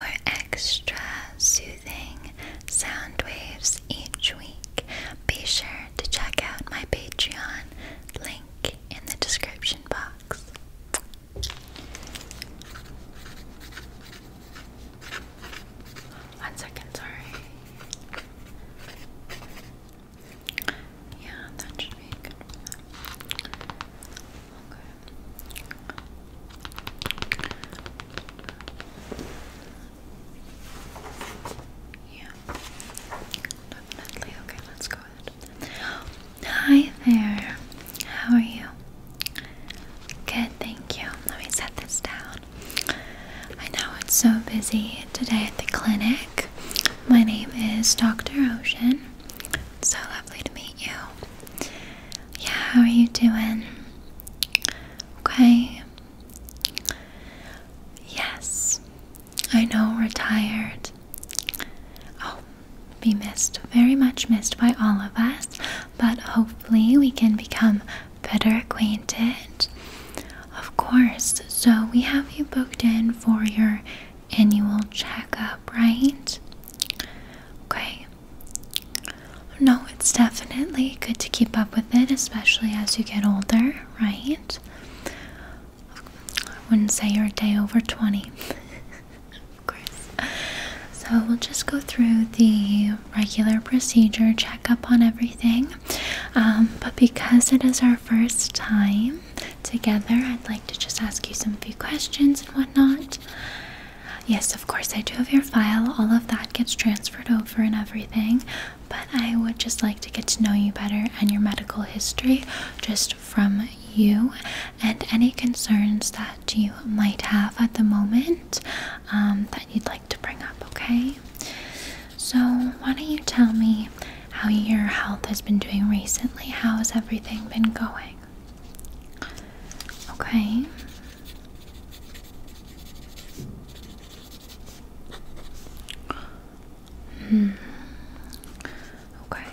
for extra soothing sound waves each week, be sure to check out my Patreon link in the description box. One second, sorry. Yeah, that should be good Hi there. How are you? Good, thank you. Let me set this down. I know it's so busy today at the clinic. My name is Dr. Ocean. so lovely to meet you. Yeah, how are you doing? Okay. Yes, I know we're tired. Oh, be missed, very much missed by all of us, but hopefully we can become better acquainted. Of course, so we have you booked in for your annual checkup, right? Okay, no, it's definitely good to keep up with it, especially as you get older, right? I wouldn't say you're a day over 20. of course. So we'll just go through the regular procedure, check up on everything. Um, but because it is our first time together, I'd like to just ask you some few questions and whatnot. Yes, of course, I do have your file. All of that gets transferred over and everything. But I would just like to get to know you better and your medical history just from you and any concerns that you might have at the moment um, that you'd like to bring up, okay? So, why don't you tell me how your health has been doing recently? How has everything been going? Okay. Hmm. Okay.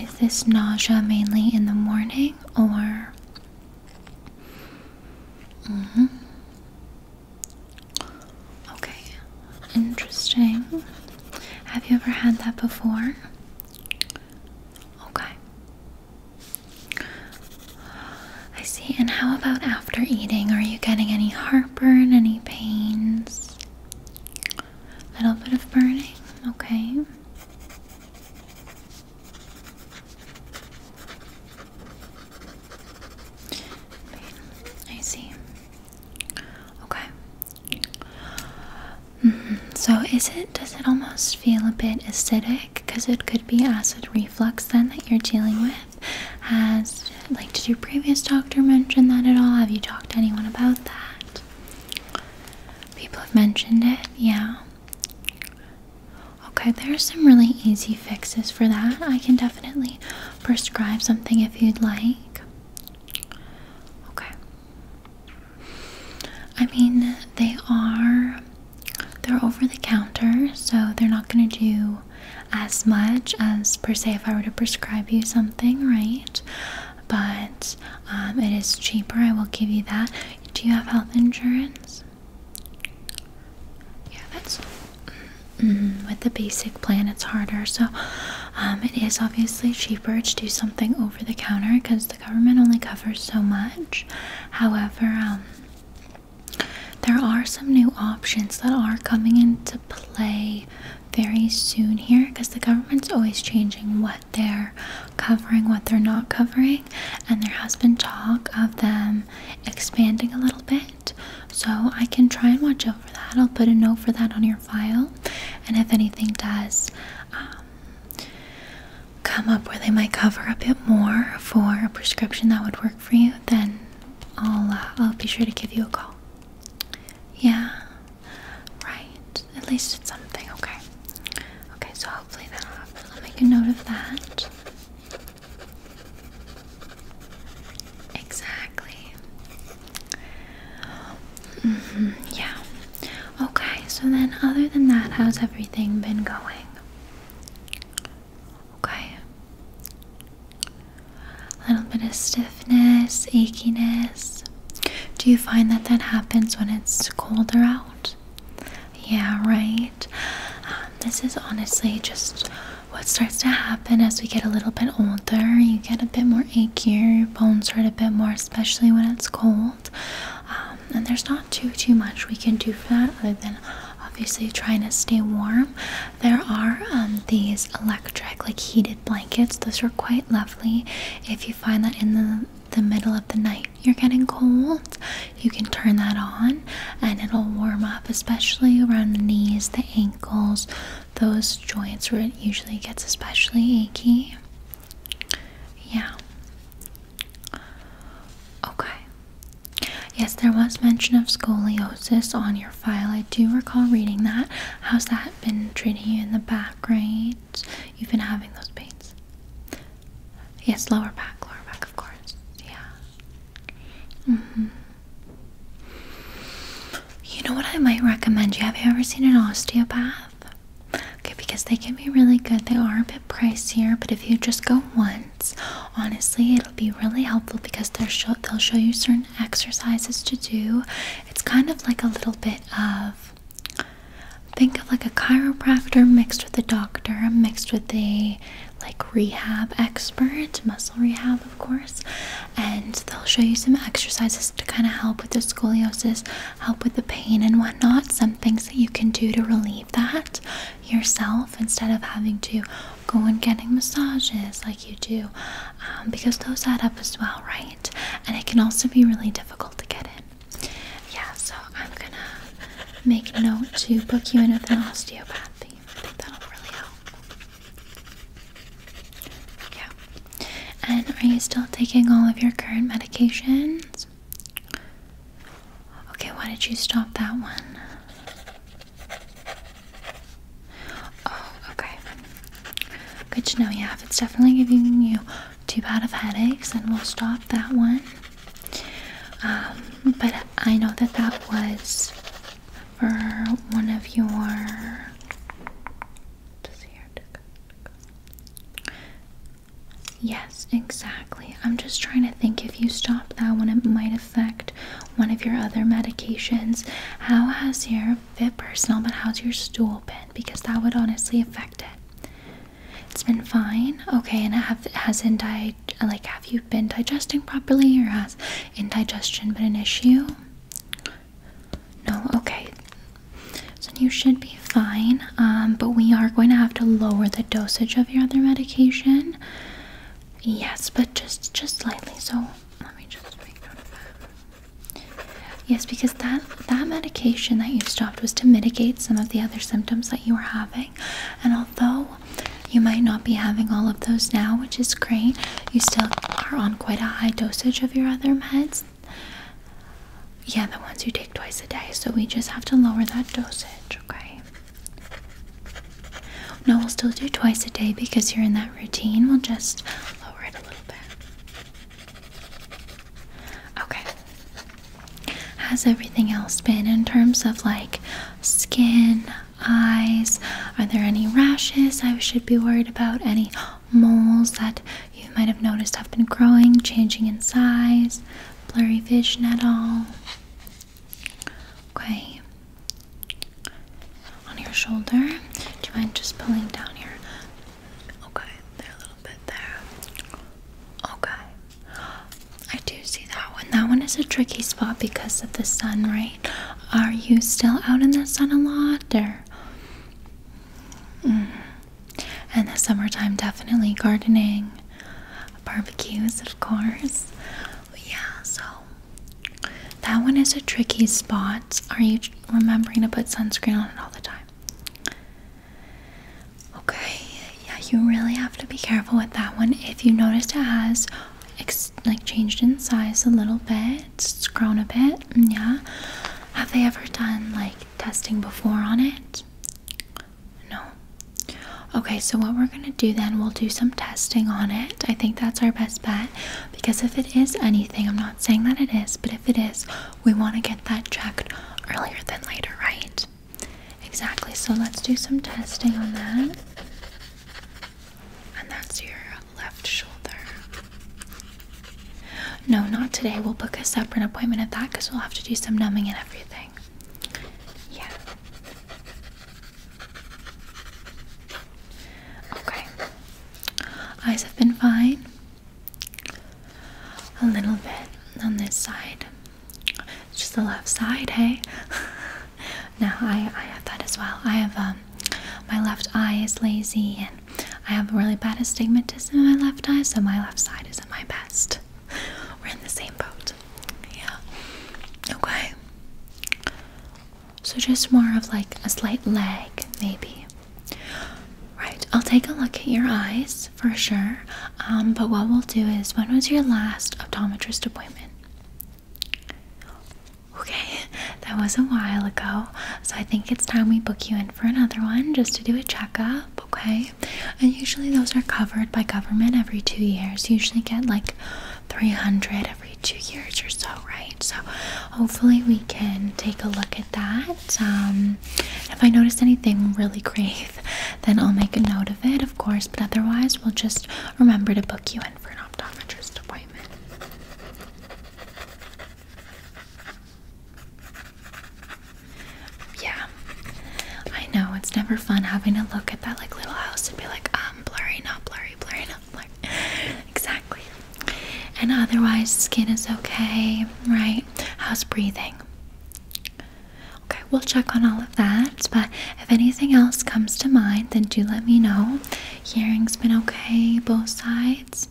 Is this nausea mainly in the morning or? hmm. Okay. Interesting. Have you ever had that before? Okay. I see. And how about after eating? Are you getting any heartburn, any pains? A little bit of burning? Okay. I see. Okay. Mm-hmm. So is it does it almost feel a bit acidic because it could be acid reflux then that you're dealing with? Has like did your previous doctor mention that at all? Have you talked to anyone about that? People have mentioned it, yeah. Okay, there are some really easy fixes for that. I can definitely prescribe something if you'd like. Okay. I mean, they are they're over the counter, so they're not going to do as much as per se if I were to prescribe you something, right? But um, it is cheaper. I will give you that. Do you have health insurance? Yeah, that's mm-hmm, with the basic plan. It's harder, so um, it is obviously cheaper to do something over the counter because the government only covers so much. However, um, there are some new options that are coming into play very soon here because the government's always changing what they're covering, what they're not covering, and there has been talk of them expanding a little bit. So I can try and watch over that. I'll put a note for that on your file, and if anything does, um, come up where they might cover a bit more for a prescription that would work for you, then I'll uh, I'll be sure to give you a call. Yeah, right. At least it's something. Okay. Okay. So hopefully that'll happen. I'll make a note of that. Exactly. Mm-hmm. yeah. Okay, so then other than that, how's everything been going? Okay. A little bit of stiffness, achiness. Do you find that that happens when it's colder out? Yeah, right. Um, this is honestly just what starts to happen as we get a little bit older. You get a bit more achy, your bones hurt a bit more, especially when it's cold. Um, and there's not too too much we can do for that other than obviously trying to stay warm there are um, these electric like heated blankets those are quite lovely if you find that in the the middle of the night you're getting cold you can turn that on and it'll warm up especially around the knees the ankles those joints where it usually gets especially achy yeah Okay. Yes, there was mention of scoliosis on your file. I do recall reading that. How's that been treating you in the back, right? You've been having those pains. Yes, lower back, lower back, of course. Yeah. Mm-hmm. You know what I might recommend you? Have you ever seen an osteopath? Okay, because they can be really good. They are a bit pricier, but if you just go once, honestly, it'll be really helpful because they'll show, they'll show you certain exercises to do. It's kind of like a little bit of think of like a chiropractor mixed with a doctor, mixed with a like rehab expert, muscle rehab, of course. And they'll show you some exercises to kind of help with the scoliosis help with the pain and whatnot, some things that you can do to relieve that yourself instead of having to go and getting massages like you do, um, because those add up as well, right? And it can also be really difficult to get in. Yeah, so I'm gonna make note to book you in with an osteopath. I think that'll really help. Yeah. And are you still taking all of your current medications? Okay, why did you stop that one? Oh, okay. Good to know, yeah. If it's definitely giving you too bad of headaches, then we'll stop that one. Um, but I know that that was for one of your. Yes, exactly. I'm just trying to think if you stop that when it might affect one of your other medications. How has your fit personal, but how's your stool been? Because that would honestly affect it. It's been fine. Okay, and have hasn't I like have you been digesting properly, or has indigestion been an issue? No. Okay, so you should be fine, um, but we are going to have to lower the dosage of your other medication. Yes, but just just slightly. So let me just make note Yes, because that that medication that you stopped was to mitigate some of the other symptoms that you were having, and although you might not be having all of those now, which is great, you still are on quite a high dosage of your other meds. Yeah, the ones you take twice a day. So we just have to lower that dosage, okay? No, we'll still do twice a day because you're in that routine. We'll just lower it a little bit. Okay. Has everything else been in terms of like skin, eyes? Are there any rashes I should be worried about? Any moles that you might have noticed i have been growing, changing in size, blurry vision at all. Okay. On your shoulder, do you mind just pulling down your okay, there a little bit there. Okay. I do see that one. That one is a tricky spot because of the sun, right? Are you still out in the sun a lot or mm and the summertime definitely gardening, barbecues, of course. yeah, so that one is a tricky spot. Are you remembering to put sunscreen on it all the time? Okay, yeah, you really have to be careful with that one. If you notice it has like changed in size a little bit, it's grown a bit, mm, yeah. Have they ever done like testing before on it? No. Okay, so what we're going to do then, we'll do some testing on it. I think that's our best bet because if it is anything, I'm not saying that it is, but if it is, we want to get that checked earlier than later, right? Exactly. So let's do some testing on that. And that's your left shoulder. No, not today. We'll book a separate appointment at that because we'll have to do some numbing and everything. Yeah. Okay. Eyes have been fine. A little bit on this side. It's just the left side, hey? now I, I have that as well. I have um my left eye is lazy and I have really bad astigmatism in my left eye, so my left side isn't my best. We're in the same boat. Yeah. Okay. So just more of like a slight lag, maybe. Right. I'll take a look at your eyes for sure. Um, but what we'll do is when was your last optometrist appointment? Okay, that was a while ago. So I think it's time we book you in for another one just to do a checkup okay? And usually those are covered by government every two years. usually get like 300 every two years or so, right? So hopefully we can take a look at that. Um, if I notice anything really grave, then I'll make a note of it, of course, but otherwise we'll just remember to book you in for an optometrist appointment. Yeah, I know it's never fun having to look at that like little house and be like, um, blurry, not blurry, blurry, not blurry. exactly. And otherwise, skin is okay, right? House breathing? Okay, we'll check on all of that. But if anything else comes to mind, then do let me know. Hearing's been okay, both sides.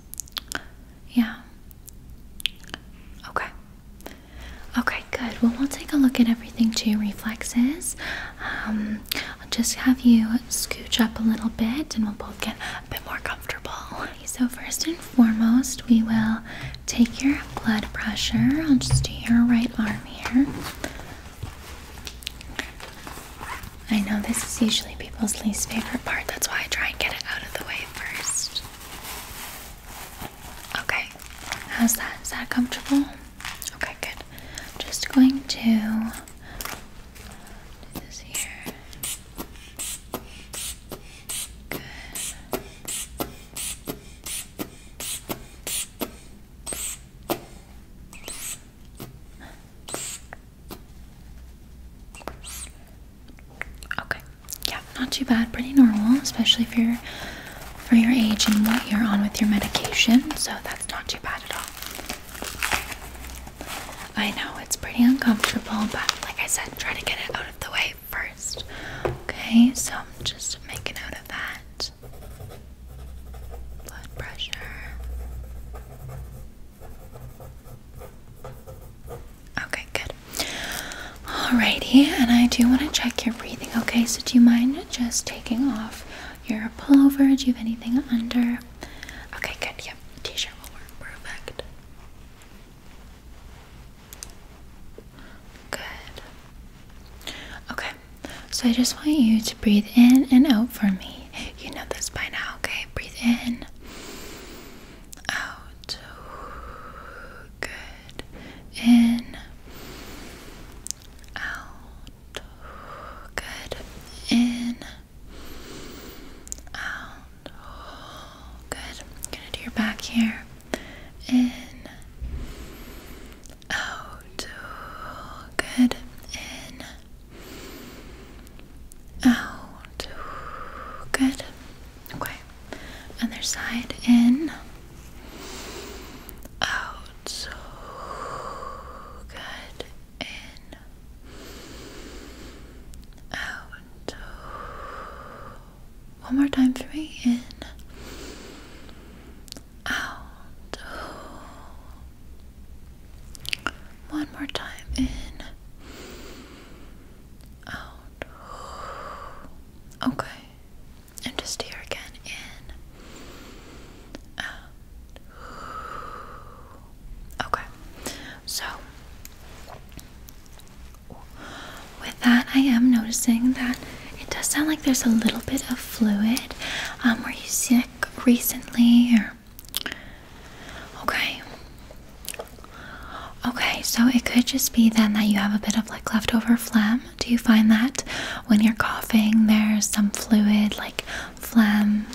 Yeah. Okay. Okay, good. Well, we'll take a look at everything to your reflexes. Um, I'll just have you scooch up a little bit and we'll both get a bit more comfortable. So, first and foremost, we will take your blood pressure. I'll just do your right arm here. I know this is usually people's least favorite part, that's why I try and get it out of the way first. Okay, how's that? Is that comfortable? Okay, good. Just going to do this here. Good. Okay. Yeah, not too bad. Pretty normal, especially if you're for your age and what you're on with your medication. So that's not too bad at all. I know it's pretty uncomfortable, but like I said, try to get it out of the way first. Okay, so I'm just making note of that. Blood pressure. Okay, good. Alrighty, and I do want to check your breathing. Okay, so do you mind just taking off your pullover? Do you have anything under? Okay, good. Yep, t-shirt will work perfect. Good. Okay, so I just want you to breathe in and out for me. You know this by now, okay? Breathe in, out good. In, out, good. In, out, good. I'm gonna do your back here. In, out, good. In, out, good. Okay. Other side in. Out. good. In. Out. One more time for me. In. Out. One more time. In out. Okay. And just here again. In. Out. Okay. So, with that, I am noticing that it does sound like there's a little bit of fluid. Um, were you sick recently? Or... Okay. Okay, so it could just be then that you have a bit of like leftover phlegm. Do you find that when you're coughing, there's some fluid like phlegm?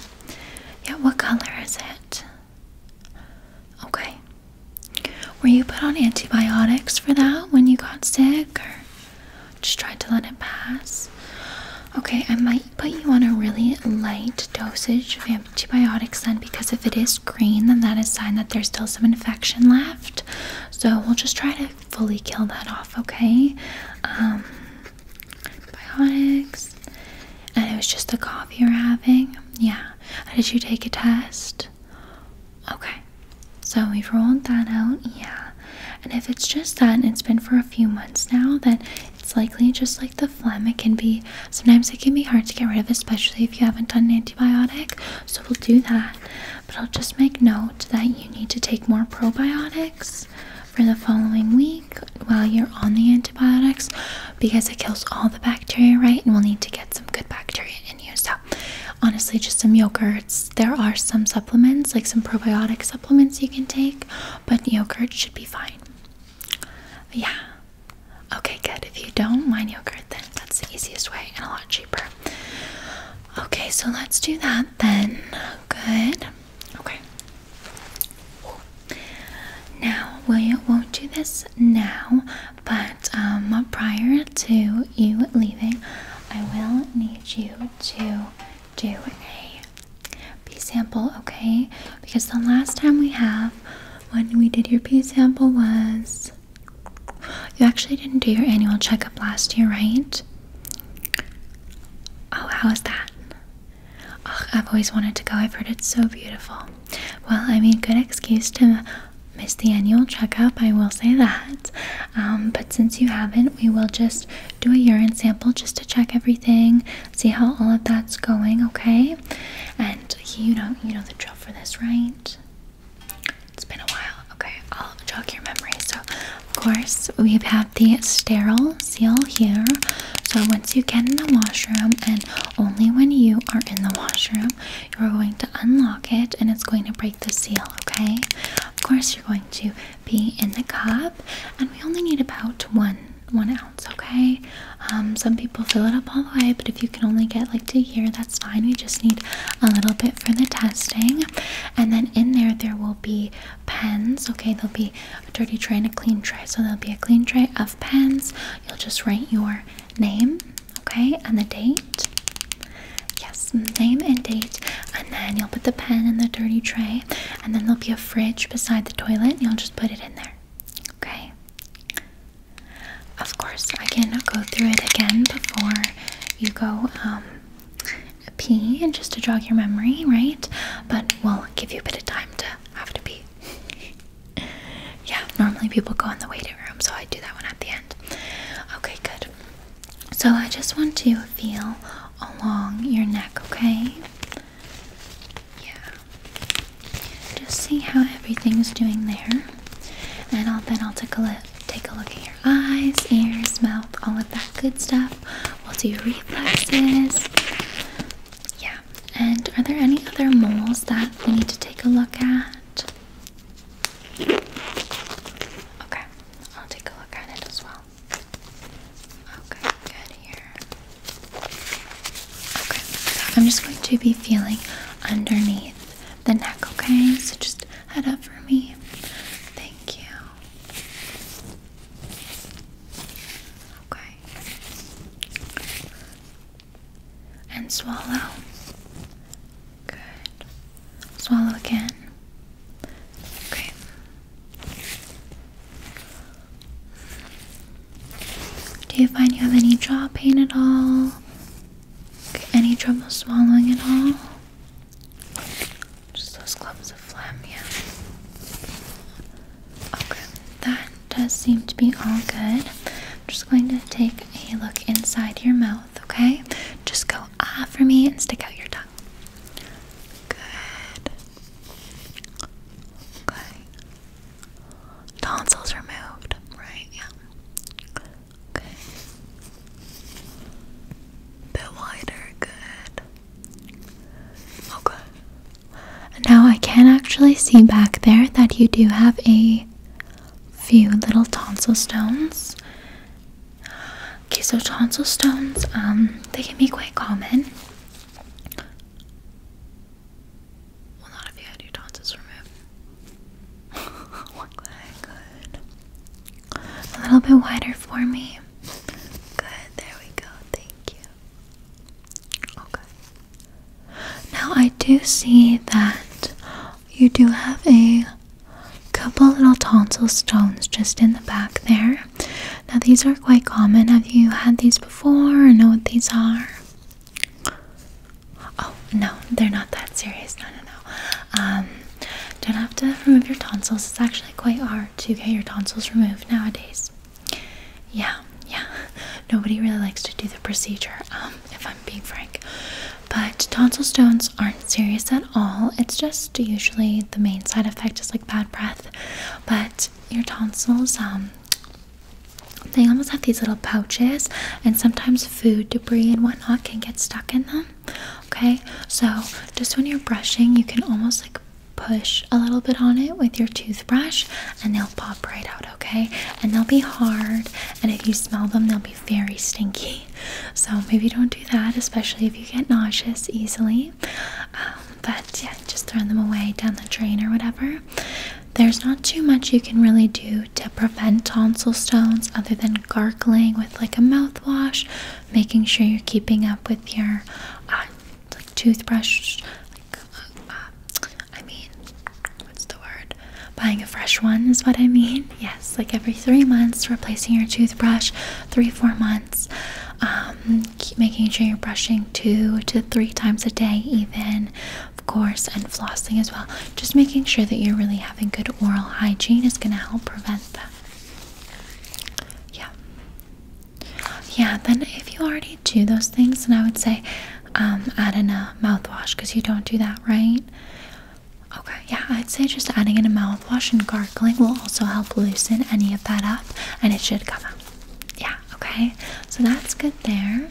Yeah, what color is it? Okay. Were you put on antibiotics for that when you got sick or just tried to let it pass? Okay, I might put you on a really light dosage of antibiotics then because if it is green, then that is sign that there's still some infection left. So we'll just try to fully kill that off, okay? Um, And it was just the cough you're having. Yeah. Did you take a test? Okay. So we've rolled that out. Yeah. And if it's just that and it's been for a few months now, then it's likely just like the phlegm. It can be Sometimes it can be hard to get rid of, especially if you haven't done an antibiotic. So we'll do that. But I'll just make note that you need to take more probiotics for the following week while you're on the antibiotics because it kills all the bacteria, right? And we'll need to get some good bacteria in you. So honestly, just some yogurts. There are some supplements, like some probiotic supplements you can take, but yogurt should be fine. Yeah. Okay, good. If you don't, mind new card then. That's the easiest way and a lot cheaper. Okay, so let's do that then. Good. Okay. Now, we won't do this now, but um, prior to you leaving, I will need you to do a P sample, okay? Because the last time we have when we did your P sample was you actually didn't do your annual checkup last year, right? Oh, how is that? Oh, I've always wanted to go. I've heard it's so beautiful. Well, I mean, good excuse to miss the annual checkup, I will say that. Um, but since you haven't, we will just do a urine sample just to check everything, see how all of that's going, okay? And you know, you know the drill for this, right? It's been a while. Okay, I'll jog your memory. So, of course, we've had the sterile seal here. So, once you get in the washroom, and only when you are in the washroom, you're going to unlock it and it's going to break the seal, okay? Of course, you're going to be in the cup, and we only need about one one ounce, okay? Um, some people We'll fill it up all the way, but if you can only get like to here, that's fine. We just need a little bit for the testing, and then in there, there will be pens. Okay, there'll be a dirty tray and a clean tray, so there'll be a clean tray of pens. You'll just write your name, okay, and the date. Yes, name and date, and then you'll put the pen in the dirty tray, and then there'll be a fridge beside the toilet, and you'll just put it in there. Okay. Of course, I can go through it again before you go um, pee and just to jog your memory, right? But we'll give you a bit of time to have to pee. yeah, normally people go in the waiting room, so I do that one at the end. Okay, good. So I just want to feel along your neck, okay? Yeah. Just see how everything's doing there, and I'll, then I'll take a look. Take a look at your eyes, ears, mouth, all of that good stuff. We'll do reflexes. Yeah. And are there any other moles that we need to take a look at? Okay, I'll take a look at it as well. Okay, good here. Okay, I'm just going to be feeling underneath the neck, okay? So just head up for me. Thank you. Okay. And swallow. Good. Swallow again. Okay. Do you find you have any jaw pain at all? Any trouble swallowing at all? Just those clumps of phlegm, yeah. Okay, that does seem to be all good. I'm just going to take a look inside your mouth, okay? Just go ah for me and stick out your tongue. Good. Okay. Tonsils removed, right? Yeah. Okay. Bit wider, good. Okay. Oh, now I can actually see back there that you do have a few little tonsil stones. Okay, so tonsil stones, um, they can be quite common. Well, not if you had your tonsils removed. A little bit wider for me. Good, there we go. Thank you. Okay. Now I do see that you do have a couple little tonsil stones just in the back there. Now these are quite common. Have you had these before or know what these are? Oh no, they're not that serious. No, no, no. Um, don't have to remove your tonsils. It's actually quite hard to get your tonsils removed nowadays. Yeah, yeah. Nobody really likes to do the procedure. Um, if I'm being frank, but tonsil stones aren't serious at all. It's just usually the main side effect is like bad breath, but your tonsils um, they almost have these little pouches, and sometimes food debris and whatnot can get stuck in them. Okay, so just when you're brushing, you can almost like push a little bit on it with your toothbrush, and they'll pop right out. Okay, and they'll be hard, and if you smell them, they'll be very stinky. So maybe don't do that, especially if you get nauseous easily. Um, but yeah, just throw them away down the drain or whatever. There's not too much you can really do to prevent tonsil stones other than gargling with like a mouthwash, making sure you're keeping up with your uh, toothbrush. Like, uh, uh, I mean, what's the word? Buying a fresh one is what I mean. Yes, like every three months, replacing your toothbrush, three, four months. Um, keep making sure you're brushing two to three times a day, even of course, and flossing as well. Just making sure that you're really having good oral hygiene is going to help prevent that. Yeah. Yeah, then if you already do those things, then I would say um, add in a mouthwash because you don't do that, right? Okay, yeah, I'd say just adding in a mouthwash and gargling will also help loosen any of that up and it should come out. Yeah, okay, so that's good there.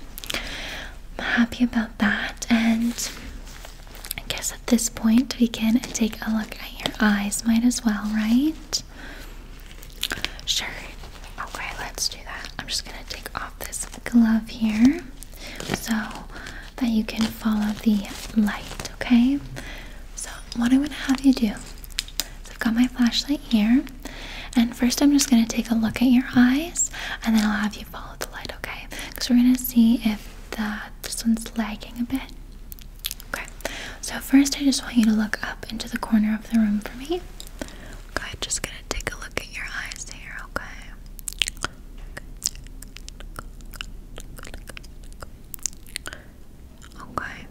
I'm happy about that. And I guess at this point, we can take a look at your eyes. Might as well, right? Sure. Okay, let's do that. I'm just going to take off this glove here so that you can follow the light, okay? So, what I'm going to have you do. So I've got my flashlight here, and first I'm just going to take a look at your eyes, and then I'll have you follow the light, okay? Because we're gonna see if the, this one's lagging a bit. Okay, so first I just want you to look up into the corner of the room for me. Okay, just gonna take a look at your eyes here, okay? Okay.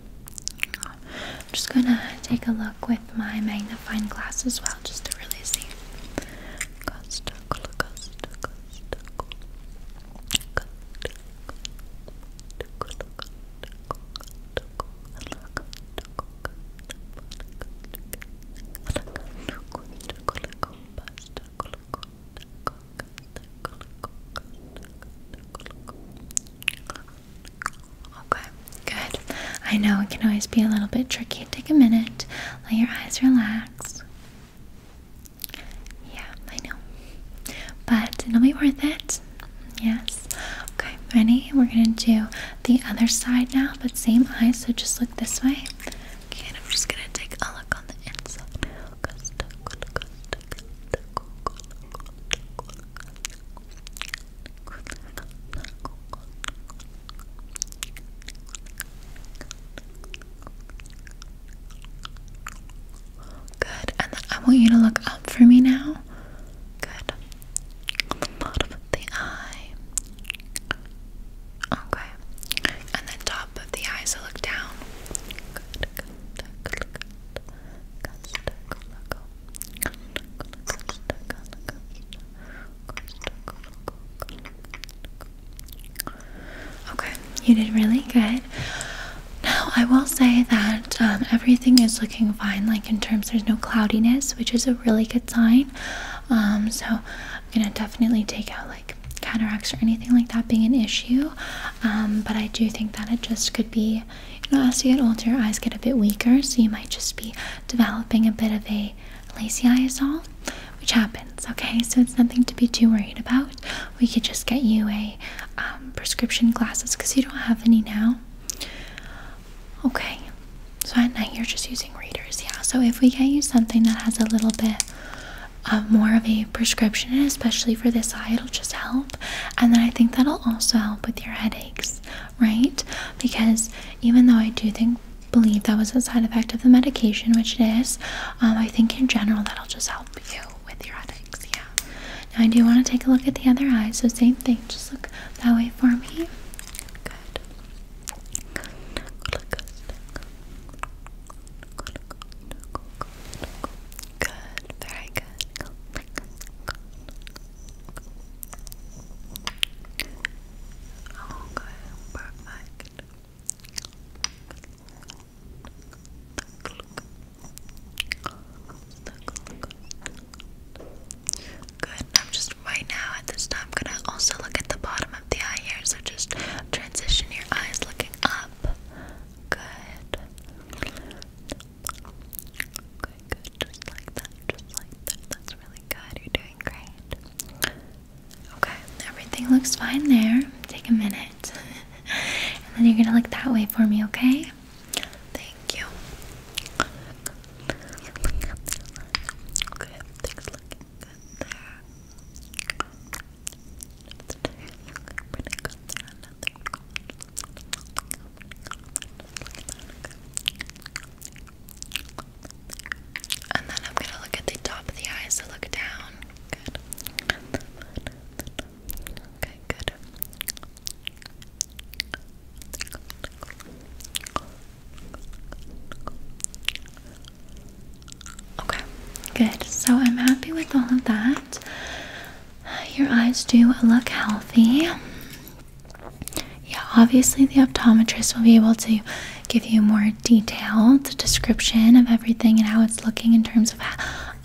I'm just gonna take a look with my magnifying a fine glass as well, just to really see. Okay, good. I know it can always be a little bit tricky. Take a minute. Let your eyes relax. Yeah, I know. But it'll be worth it. Yes. Okay, ready? We're gonna do the other side now, but same eyes. so just look this way. and I'm just gonna take a look on the inside. Good. And then I want you to look up for me now. Good. bottom of the eye. Okay. And then top of the eye, so look down. Good, Okay, you did really good. Now, I will say that um, everything is looking fine, like in terms there's no cloudiness, which is a really good sign. Um, so, I'm gonna definitely take out like cataracts or anything like that being an issue. Um, but I do think that it just could be, you know, as you get older, your eyes get a bit weaker, so you might just be developing a bit of a Lacy eye is all, which happens, okay? So it's nothing to be too worried about. We could just get you a um, prescription glasses because you don't have any now. Okay, so at night you're just using readers, yeah. So if we get you something that has a little bit uh, more of a prescription, especially for this eye, it'll just help. And then I think that'll also help with your headaches, right? Because even though I do think believe that was a side effect of the medication, which it is. Um, I think in general that'll just help you with your headaches. Yeah. Now I do want to take a look at the other eye. So same thing. Just look that way for me. Good. Good. Very good. Okay, perfect. Good. I'm just right now at this time I'm gonna also look at the bottom of the eye here, so just transition your eyes looking up. Good. Okay, good. Just like that. Just like that. That's really good. You're doing great. Okay, everything looks fine there. Take a minute. and then you're gonna look that way for me, okay? Thank you. Okay, everything's looking good there. Pretty good there, nothing. And then I'm gonna look at the top of the eye, so look down. Good. Okay, good. Okay, good. So I'm happy with all of that. Your eyes do look healthy. Yeah, obviously, the optometrist will be able to give you more detailed description of everything and how it's looking in terms of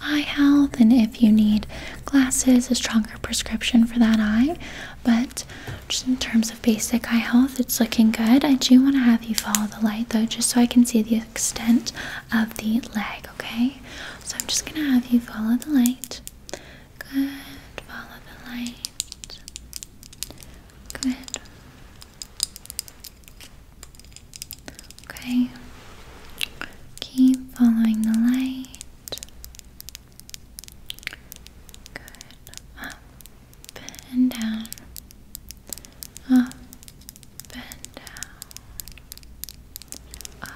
eye health and if you need glasses, a stronger prescription for that eye. But just in terms of basic eye health, it's looking good. I do want to have you follow the light though, just so I can see the extent of the leg, okay? So I'm just going to have you follow the light. Good, follow the light. Good. Okay. Keep following the light. Good. Up and down. Up and down. Up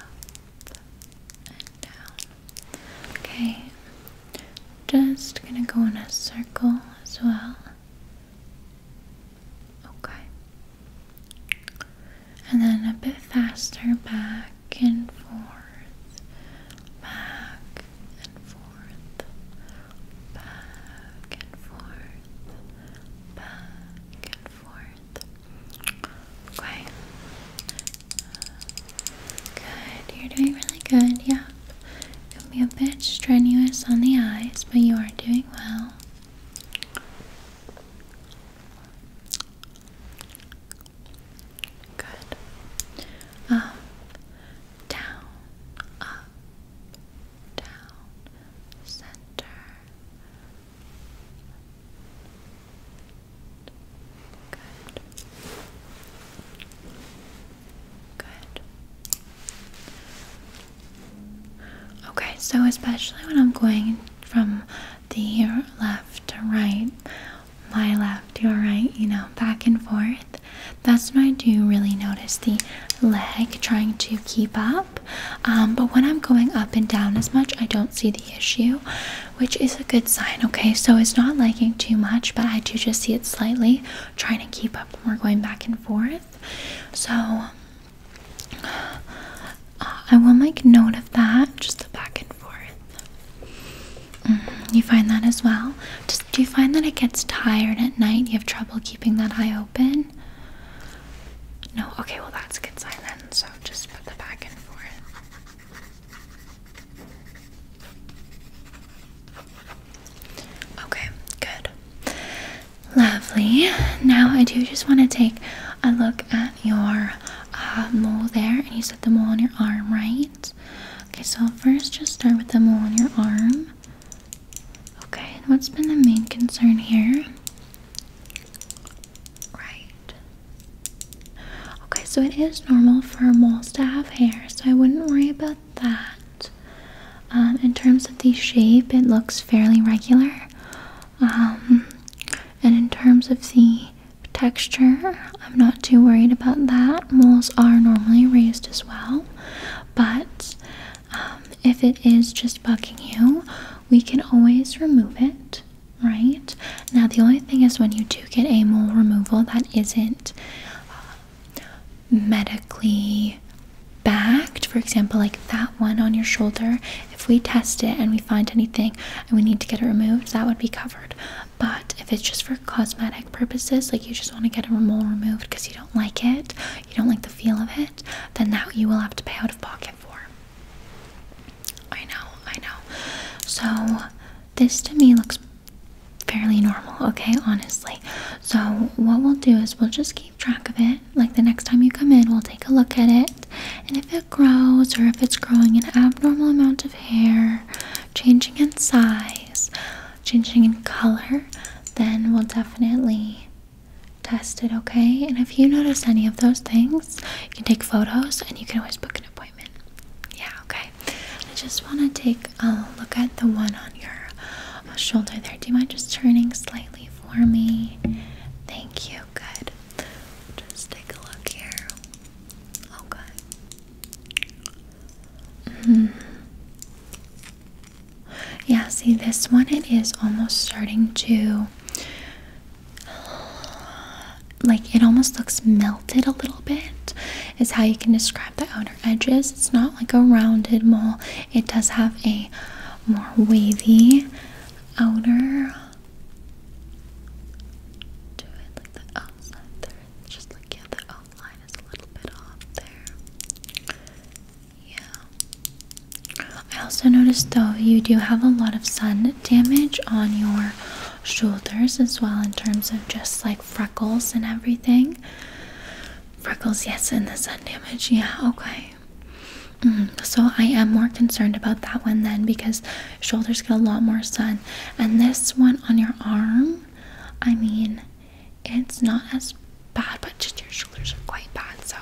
and down. Okay. Just gonna go in a circle as well. Okay. And then a bit faster back and forth, back and forth, back and forth, back and forth. Okay. Good, you're doing really good, Yeah. It will be a bit strenuous on the eyes, but you are doing well. Good. Up, um, down, up, down, center. Good. Good. Okay, so especially when I'm going from the left to right, my left, your right, you know, back and forth, that's when I do really notice the leg trying to keep up. Um, but when I'm going up and down as much, I don't see the issue, which is a good sign, okay? So it's not lagging too much, but I do just see it slightly, trying to keep up we're going back and forth. So uh, I will make note of that, just the back and forth. Mm-hmm. you find that as well? do you find that it gets tired at night? You have trouble keeping that eye open? No? Okay, well, that's a good sign then. So just put the back and forth. Okay, good. Lovely. Now I do just want to take a look at your uh, mole there. And you said the mole on your arm, right? Okay, so first just start with the mole on your arm. Okay, what's been the main concern here? Right. Okay, so it is normal for moles to have hair, so I wouldn't worry about that. Um, in terms of the shape, it looks fairly regular. Um, and in terms of the texture, I'm not too worried about that. Moles are normally raised as well. But um, if it is just bugging you, we can always remove it, right? Now, the only thing is when you do get a mole removal that isn't medically backed. For example, like that one on your shoulder, if we test it and we find anything and we need to get it removed, that would be covered. But if it's just for cosmetic purposes, like you just want to get a mole removed because you don't like it, you don't like the feel of it, then that you will have to pay out of pocket for. I know, I know. So, this to me looks fairly normal, okay? Honestly. So, what we'll do is we'll just keep track of it. Like the next time you come in, we'll take a look at it. And if it grows or if it's growing an abnormal amount of hair, changing in size, changing in color, then we'll definitely test it, okay? And if you notice any of those things, you can take photos and you can always book an appointment. Yeah, okay. I just want to take a look at the one on your uh, shoulder there. Do you mind just turning slightly for me? Thank you. Good. Just take a look here. Okay. Oh, mm-hmm. Yeah, see this one, it is almost starting to. Like it almost looks milky. It a little bit is how you can describe the outer edges it's not like a rounded mole it does have a more wavy outer yeah I also noticed though you do have a lot of sun damage on your shoulders as well in terms of just like freckles and everything Freckles, yes, and the sun damage, yeah, okay. Mm, so I am more concerned about that one then because shoulders get a lot more sun. And this one on your arm, I mean, it's not as bad, but just your shoulders are quite bad. So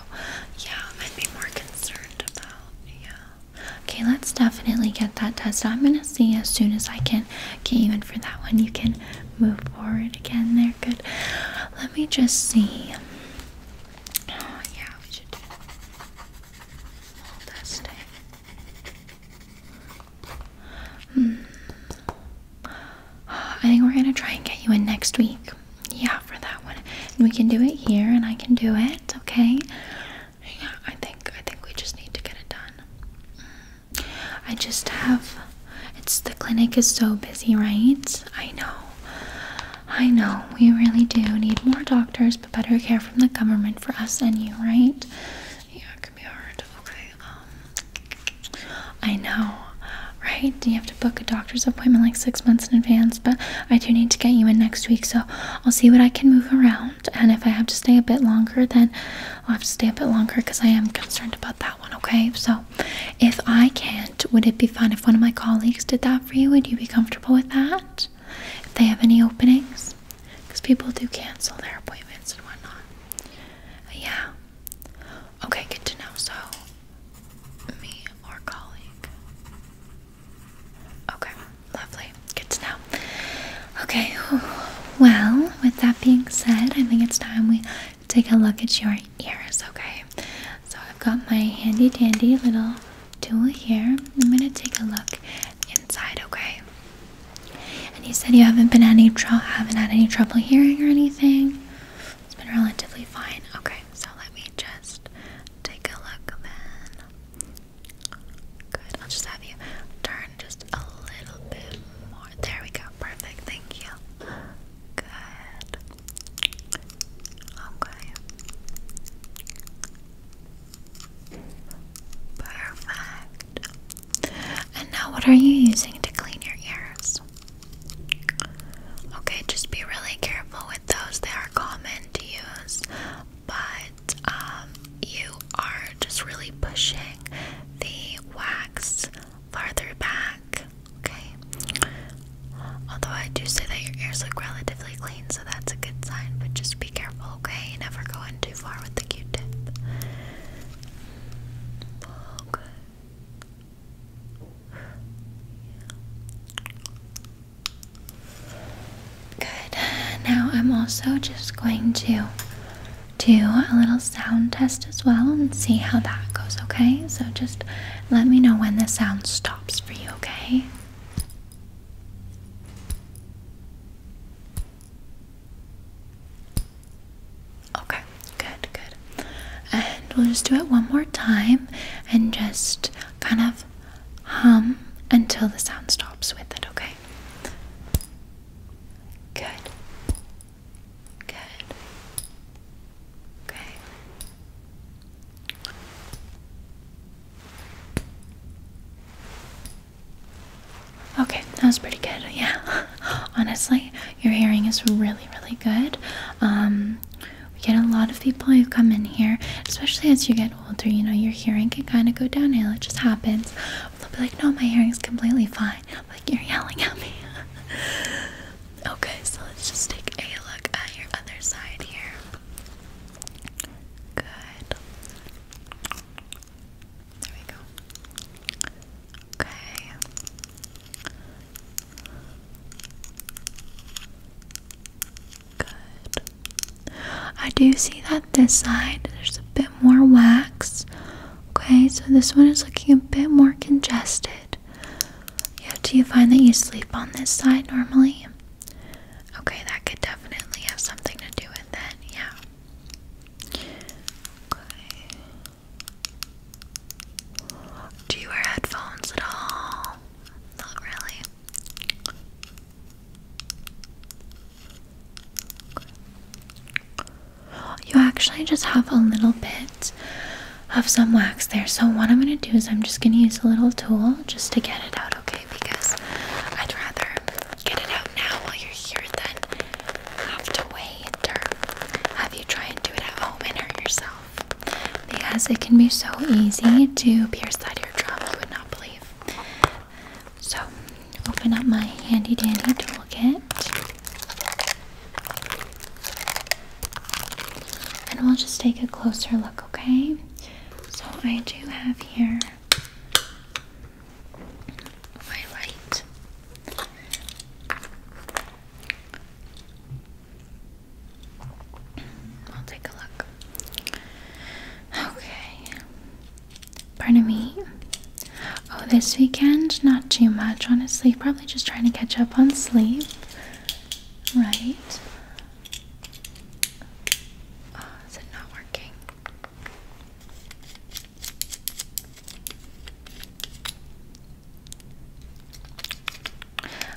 yeah, I'd be more concerned about, yeah. Okay, let's definitely get that tested. I'm gonna see as soon as I can get even for that one. You can move forward again there. Good. Let me just see. Oh, yeah, we should do all hmm. I think we're gonna try and get you in next week. Yeah, for that one. we can do it here and I can do it, okay? Yeah, I think I think we just need to get it done. Hmm. I just have it's the clinic is so busy, right? I know. I know. We really do need more doctors, but better care from the government for us and you, right? Yeah, it can be hard. Okay. Um, I know. Right? You have to book a doctor's appointment like six months in advance, but I do need to get you in next week, so I'll see what I can move around. And if I have to stay a bit longer, then I'll have to stay a bit longer because I am concerned about that one, okay? So if I can't, would it be fine if one of my colleagues did that for you? Would you be comfortable with that? If they have any openings? Because people do cancel their appointments and whatnot. Yeah. Okay, good to know. So, me or colleague. Okay, lovely. Good to know. Okay, well, with that being said, I think it's time we take a look at your ears, okay? So I've got my handy dandy little tool here. I'm gonna take a look inside, okay? And you said you haven't been any trouble, haven't had any trouble hearing or anything. It's been relatively fine. Okay, so let me just take a look then. Good. I'll just have you turn just a little bit more. There we go. Perfect. Thank you. Good. Okay. Perfect. And now, what are you using to clean your ears? Okay, just be really careful with those. They are common to use, but um, you are just really pushing the wax farther back. Okay. Although I do say that your ears look relatively clean, so that's a good sign, but just be careful, okay? Never go in too far with the Q tip. Okay. Good. Now I'm also just going to do a little sound test as well and see how that goes, okay? So just let me know when the sound stops for you, okay? Okay, good, good. And we'll just do it one more time and just kind of hum until the sound stops with it, okay? Good. Good. Okay. Okay, that was pretty good. Yeah. Honestly, your hearing is really, really good. Um, we get a lot of people who come in here, especially as you get older, you know, your hearing can kind of go downhill. It just happens. They'll be like, no, my hearing's completely fine. Like you're yelling at me. okay, so let's just take a look at your other side here. Good. There we go. Okay. Good. I do see that this side there's a bit more wax Okay, so this one is looking a bit more congested. Yeah, do you find that you sleep on this side normally? Okay, that could definitely have something to do with it, yeah. Do you wear headphones at all? Not really. You actually just have a little bit of some wax there. So, what I'm going to do is I'm just going to use a little tool just to get it out, okay? Because I'd rather get it out now while you're here than have to wait or have you try and do it at home and hurt yourself. Because it can be so easy to pierce that eardrum, you would not believe. So, open up my handy dandy toolkit. And we'll just take a closer look, okay? So I do have here my light. I'll take a look. Okay. Pardon me. Oh, this weekend, not too much, honestly. Probably just trying to catch up on sleep. Right? Oh, is it not working?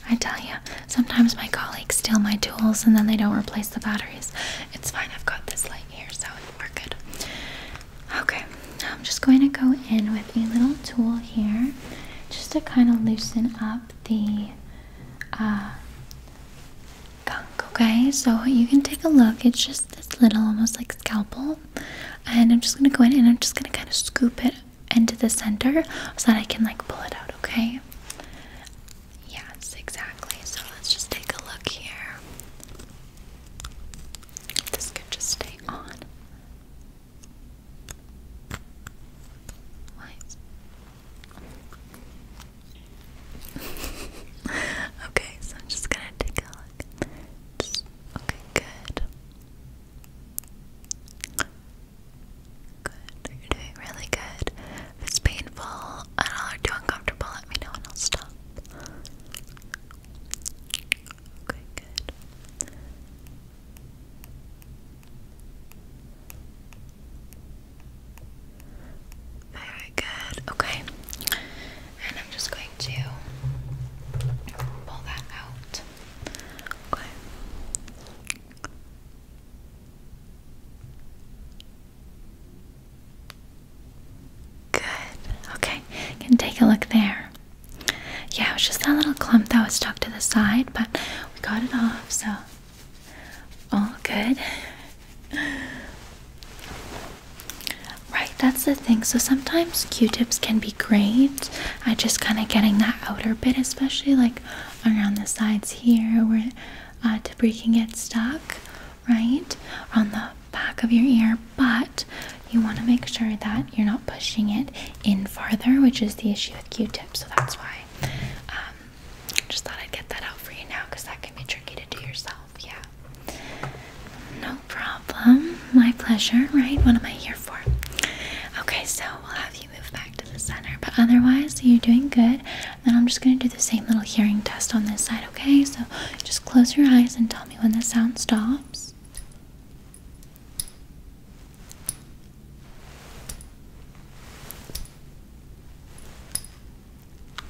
I tell you, sometimes my colleagues steal my tools and then they don't replace the batteries. It's fine, I've got this light here, so we're good. Okay, I'm just going to go in with a little tool here just to kind of loosen up the uh, gunk, okay? So you can take a look. It's just this little, almost like scalpel. And I'm just going to go in and I'm just going to kind of scoop it into the center so that I can like pull it out, okay? Yes, exactly. So let's just take a look here. This could just stay on. What? okay, so I'm just gonna take a look. okay, good. Good. You're doing really good. If it's painful at or too uncomfortable, let me know and I'll stop. Okay, good. Very good. Okay. And I'm just going to pull that out. Okay. Good. Okay. can take a look there. Yeah, it was just that little clump that was stuck to the side, but we got it off, so all good. Right, that's the thing. So sometimes Q-tips can be great. I just kind of getting that outer bit, especially like around the sides here where uh, debris can get stuck, right? On the back of your ear, but you want to make sure that you're not pushing it in farther, which is the issue with Q-tips. So that's why um, just thought I'd get that out for you now because that can be tricky to do yourself. Yeah, no problem. My pleasure, right? What am I here for? Okay, so we'll have you move back to the center, but otherwise, you're doing good. then I'm just going to do the same little hearing test on this side, okay? So just close your eyes and tell me when the sound stops.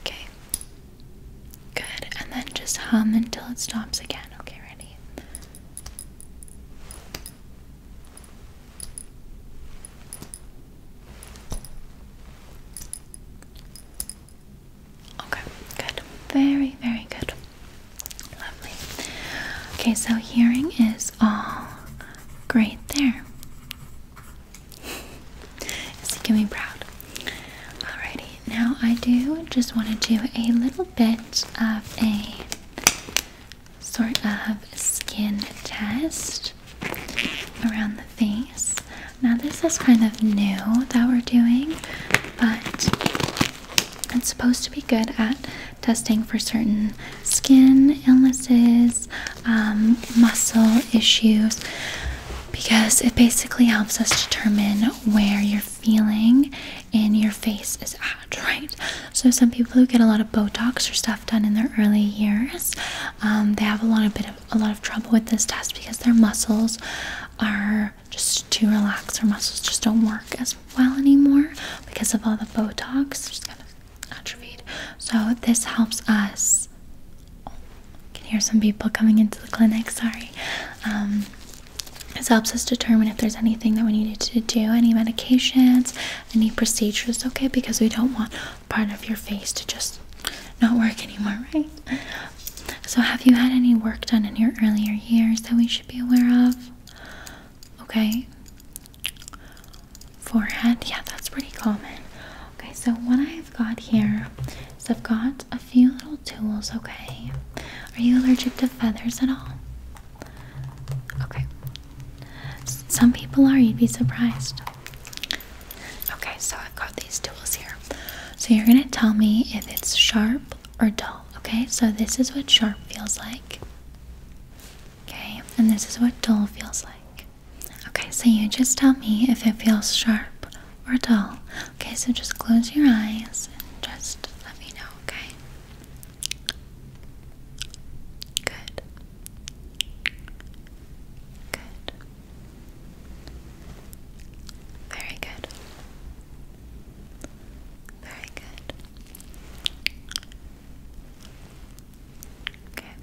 Okay. Good. And then just hum until it stops again. Okay, ready? Okay, good. Very, very good. Lovely. Okay, so hearing is all great there. You can be proud. Alrighty, now I do just want to do a little bit of a sort of skin test around the face. Now, this is kind of new that we're doing, but it's supposed to be good at testing for certain skin illnesses, um, muscle issues, because it basically helps us determine where you're feeling in your face is at, right? So, some people who get a lot of Botox or stuff done in their early years, um, they have a lot of bit of a lot of trouble with this test because their muscles are just too relaxed. Her muscles just don't work as well anymore because of all the Botox. Just kind of atrophied. So this helps us. Oh, can hear some people coming into the clinic. Sorry. Um, this helps us determine if there's anything that we needed to do, any medications, any procedures. Okay, because we don't want part of your face to just not work anymore, right? So, have you had any work done in your earlier years that we should be aware of? Okay. Forehead, yeah, that's pretty common. Okay, so what I've got here is I've got a few little tools, okay? Are you allergic to feathers at all? Okay. some people are, you'd be surprised. Okay, so I've got these tools here. So you're going to tell me if it's sharp or dull. Okay, so this is what sharp feels like. Okay, and this is what dull feels like. Okay, so you just tell me if it feels sharp or dull. Okay, so just close your eyes and just let me know, okay? Good. Good. Very good. Very good. Okay. Okay. Good.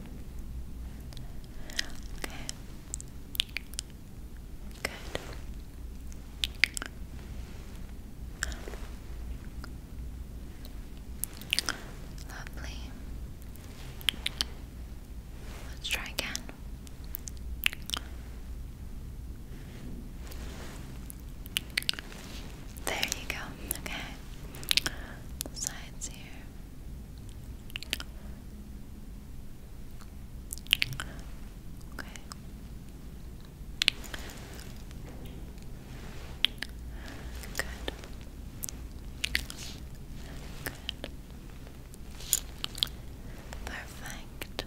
Lovely. Let's try again. There you go. Okay. sides here. Okay. Good. Good. Perfect.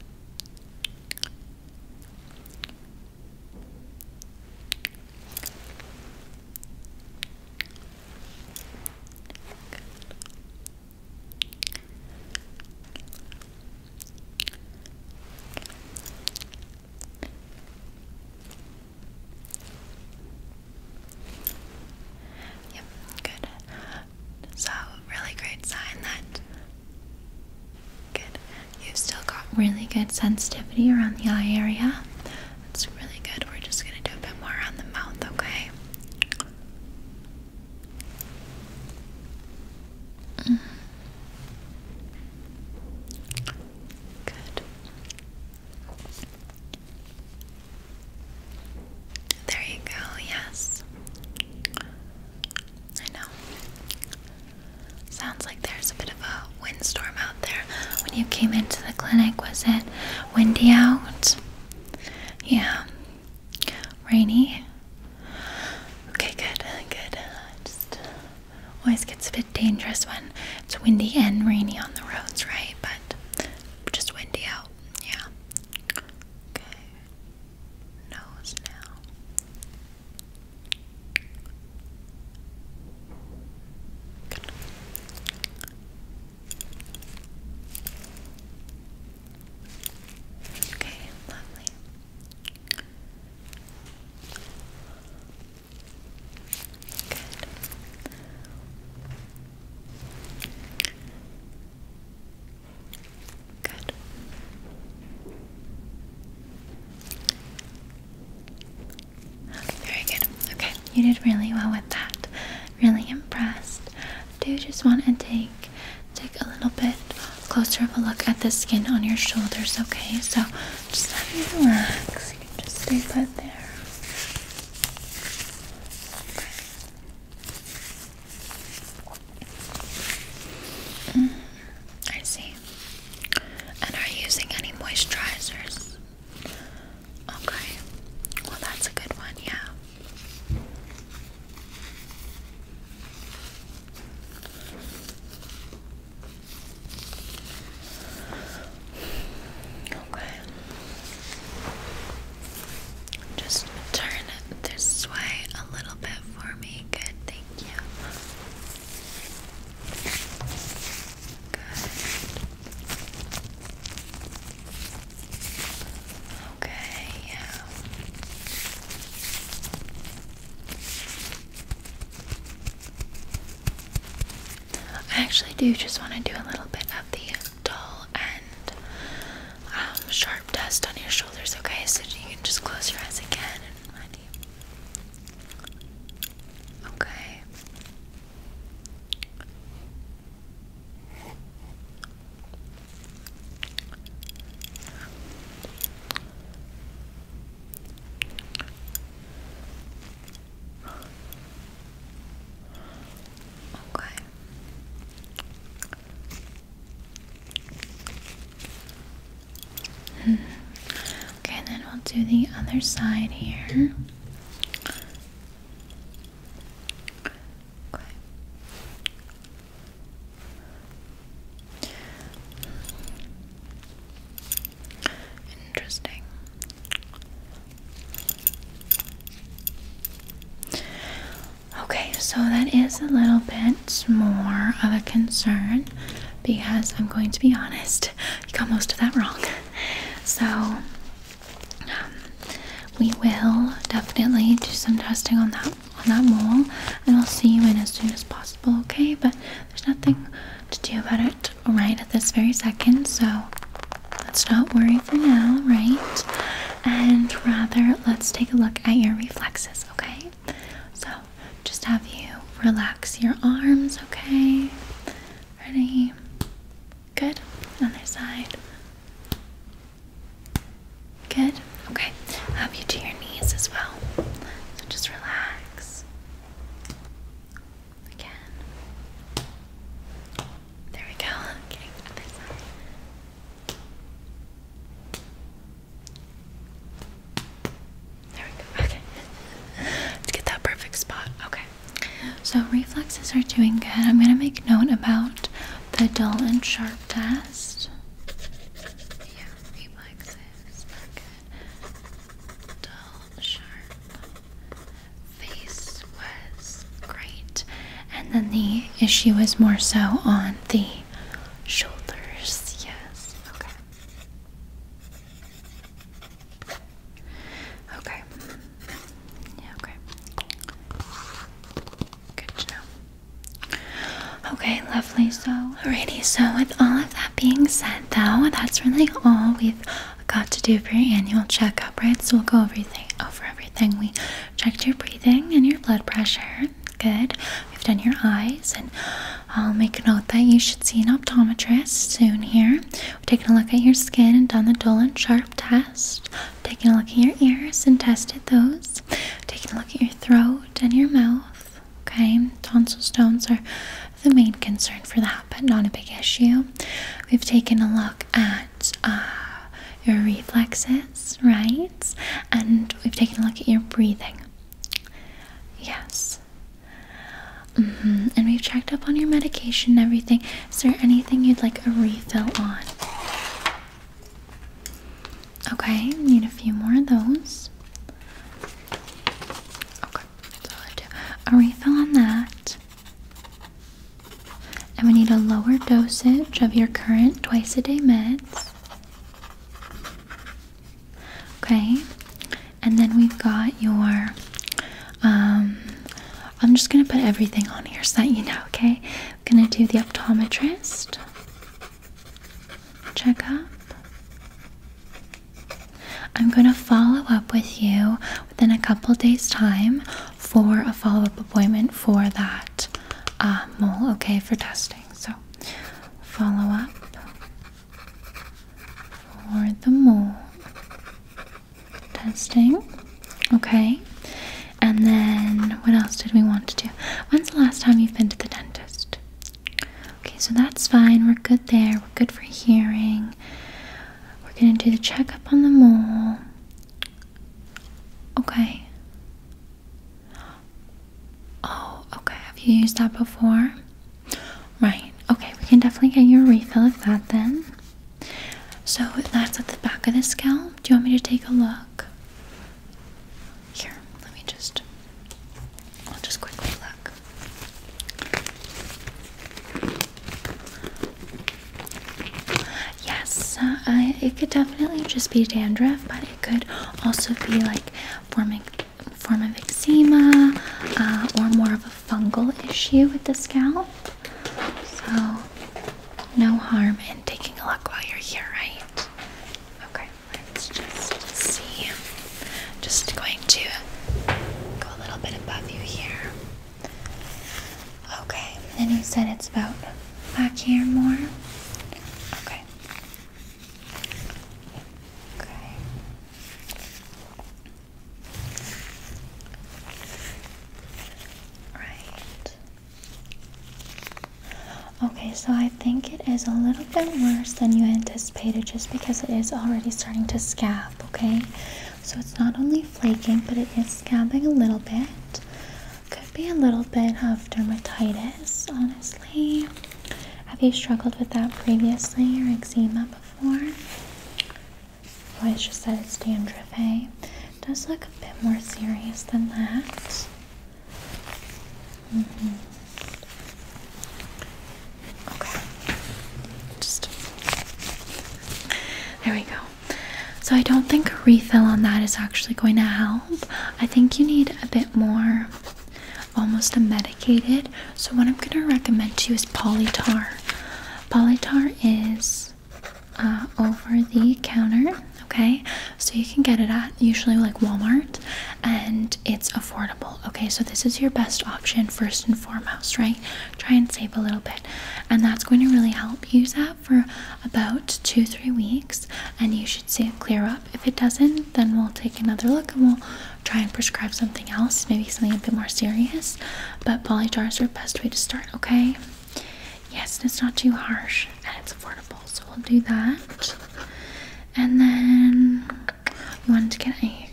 Yep, good. So, really great sign that good. You've still got really good sensitivity around the eye area. That's really good. We're just gonna do a bit more on the mouth, okay? Mm-hmm. Good. There you go, yes. I know. Sounds like there's a bit of a windstorm out there. When you came into the clinic, was it windy out? Yeah. Rainy? Okay, good, good. Just always gets a bit dangerous when it's windy and rainy on the roads, right? But just windy out. Yeah. Okay nose now. Good. Okay, lovely. Good. Good. very good. Okay, you did really well with that. Really impressed. I do just want to take take a little bit closer of a look at the skin on your shoulders, okay? So just let me relax. You can just stay put there. Mm, I see. And are using any moisturizers? Okay. Well, that's a good one, yeah. Okay. Just turn this way a little bit for me. Good, thank you. Good. Okay, yeah. I actually do just want to do a little bit of the dull and um, sharp dust on your shoulders, okay? So you can just close your eyes again Okay. Okay. Hmm. Okay, then we'll do the other side here. Interesting. Okay, so that is a little bit more of a concern because I'm going to be honest, you got most of that wrong. So, um, we will definitely do some testing on that on that mole, and I'll see you in as soon as possible. Okay, but there's nothing to do about it right at this very second, so let's not worry for now, right? and rather let's take a look at your reflexes, okay? So just have you relax your arms, okay? Ready? Good. Other side. Good. Okay. Have you to your knees as well. So just relax. Again. There we go. There we go. Okay. Let's get that perfect spot. Okay. So reflexes are doing good. I'm gonna make note about the dull and sharp test. Yeah, reflexes are Dull, sharp. Face was great and then the issue is more so on the shoulders. Yes. Okay. Okay. Yeah, okay. Good to know. Okay, lovely. So, alrighty. So, with all of that being said, though, that's really all we've got to do for your annual checkup, right? So, we'll go over everything we checked your breathing and your blood pressure. Good. We've done your eyes, and I'll make a note that you should see an optometrist soon here. We've taken a look at your skin and done the dull and sharp test. Taken a look at your ears and tested those. Taken a look at your throat and your mouth. Okay, tonsil stones are the main concern for that, but not a big issue. We've taken a look at uh, your reflexes, right? And we've taken a look at your breathing. Yes. Mm-hmm. And we've checked up on your medication and everything. Is there anything you'd like a refill on? Okay, we need a few more of those. Okay, that's all I do. A refill on that. And we need a lower dosage of your current twice a day meds. Okay, and then we've got your. Um, I'm just gonna put everything on here so that you know. Okay, I'm gonna do the optometrist checkup. I'm gonna follow up with you within a couple days' time for a follow up appointment for that uh, mole, okay, for testing. So, follow up for the mole testing, okay. And then, what else did we want to do? When's the last time you've been to the dentist? Okay, so that's fine. We're good there. We're good for hearing. We're gonna do the checkup on the mole. Okay. Oh, okay. Have you used that before? Right. Okay, we can definitely get you a refill of that then. So that's at the back of the scalp. Do you want me to take a look? Here, let me just. I'll just quickly look. Yes, uh, it could definitely just be dandruff, but it could also be like formic form of eczema uh, or more of a fungal issue with the scalp. So no harm in taking a look while you're here, right? Okay, let's just see. Just going to go a little bit above you here. Okay, and you said it's about back here more? Okay. Okay. Right. Okay, so I think it is a little bit worse than you anticipated just because it is already starting to scab, okay? So it's not only flaking, but it is scabbing a little bit. Could be a little bit of dermatitis, honestly. Have you struggled with that previously or eczema before? Oh, I just said it's dandruff, Hey, does look a bit more serious than that. Mm-hmm. Okay. Just there we go. So I don't think a refill on that is actually going to help. I think you need a bit more almost a medicated. So what I'm gonna recommend to you is polytar. Polytar is uh, over the counter, okay? So you can get it at usually like Walmart and it's affordable, okay? So this is your best option first and foremost, right? Try and save a little bit. And that's going to really help you, Zach for about two, three weeks, and you should see it clear up. If it doesn't, then we'll take another look and we'll try and prescribe something else, maybe something a bit more serious. But polydars are the best way to start, okay? Yes, it's not too harsh and it's affordable, so we'll do that. And then you wanted to get a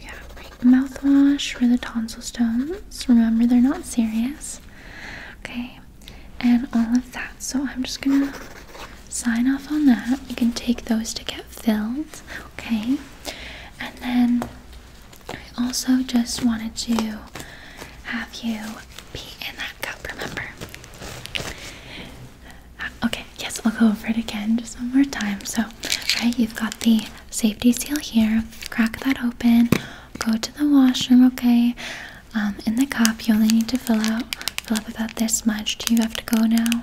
mouthwash for the tonsil stones. Remember, they're not serious. Okay, and all of that. So I'm just gonna sign off on that. You can take those to get filled, okay? And then I also just wanted to have you be in that cup, remember? Uh, okay, yes, I'll go over it again just one more time. So, right, you've got the safety seal here. Crack that open. Go to the washroom, okay? Um, in the cup, you only need to fill out fill up about this much. Do you have to go now?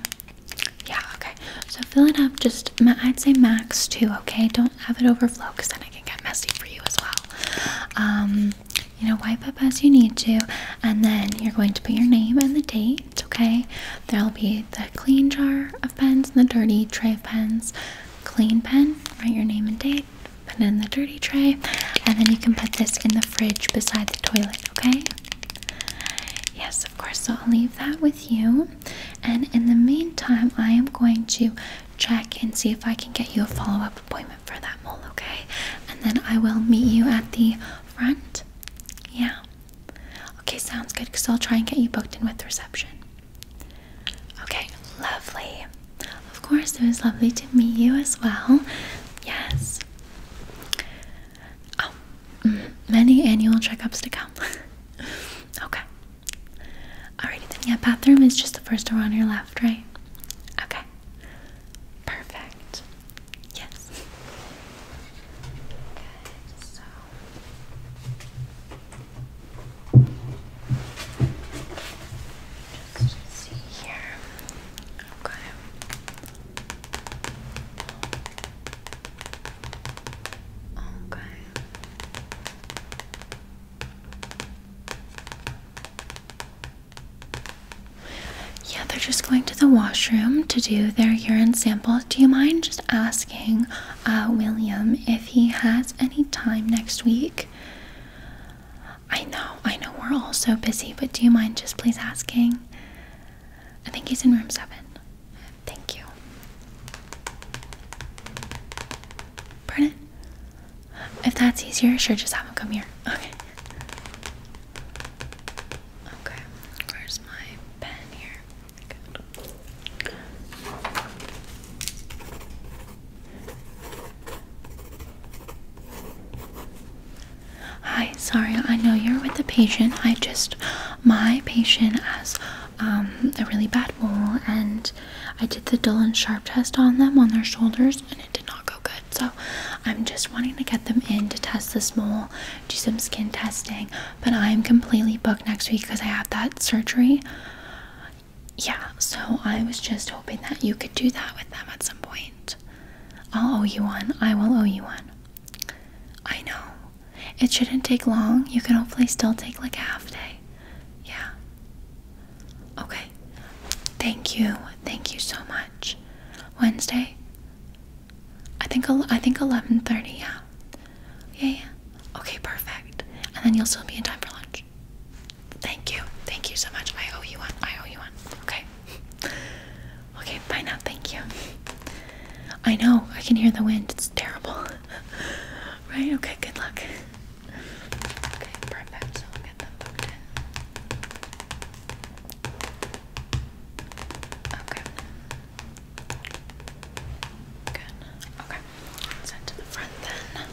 Yeah. Okay. So fill it up. Just I'd say max two. Okay. Don't have it overflow because then it can get messy for you as well. Um, you know, wipe up as you need to, and then you're going to put your name and the date. Okay. There'll be the clean jar of pens and the dirty tray of pens. Clean pen. Write your name and date put it in the dirty tray, and then you can put this in the fridge beside the toilet, okay? Yes, of course. So I'll leave that with you. And in the meantime, I am going to check and see if I can get you a follow up appointment for that mole, okay? And then I will meet you at the front. Yeah. Okay, sounds good because I'll try and get you booked in with reception. Okay, lovely. Of course, it was lovely to meet you as well. Yes. Oh, mm, many annual checkups to come. okay. Alrighty then. bathroom is just the first door on your left, right? Okay. Perfect. Yes. Good. So. Just see here. Okay. Okay. Yeah, they're just going to the washroom to do their urine sample. Do you mind just asking uh, William if he has any time next week? I know, I know, we're all so busy, but do you mind just please asking? I think he's in room seven. Thank you. Pardon? If that's easier, sure, just have him come here. Okay. Okay, where's my pen here? Good. Hi, sorry, I know you're with the patient. I just, my patient has um, a really bad mole, and I did the dull and sharp test on them on their shoulders, and it did not go good. So I'm just wanting to get them in to test this mole, do some skin testing, but I'm completely booked next week because I have that surgery. Yeah, so I was just hoping that you could do that with them at some point. I'll owe you one. I will owe you one. I know. It shouldn't take long. You can hopefully still take like a half day. Yeah. Okay. Thank you. Thank you so much. Wednesday. I think I think 11:30. Yeah. Yeah, yeah. Okay, perfect. And then you'll still be in time for lunch. Thank you. Thank you so much. I owe you one. I owe you one. Okay. Okay, fine. now. Thank you. I know. I can hear the wind. It's terrible. right? Okay, good luck. Okay, perfect. Okay. Good. Okay. Send to the front then.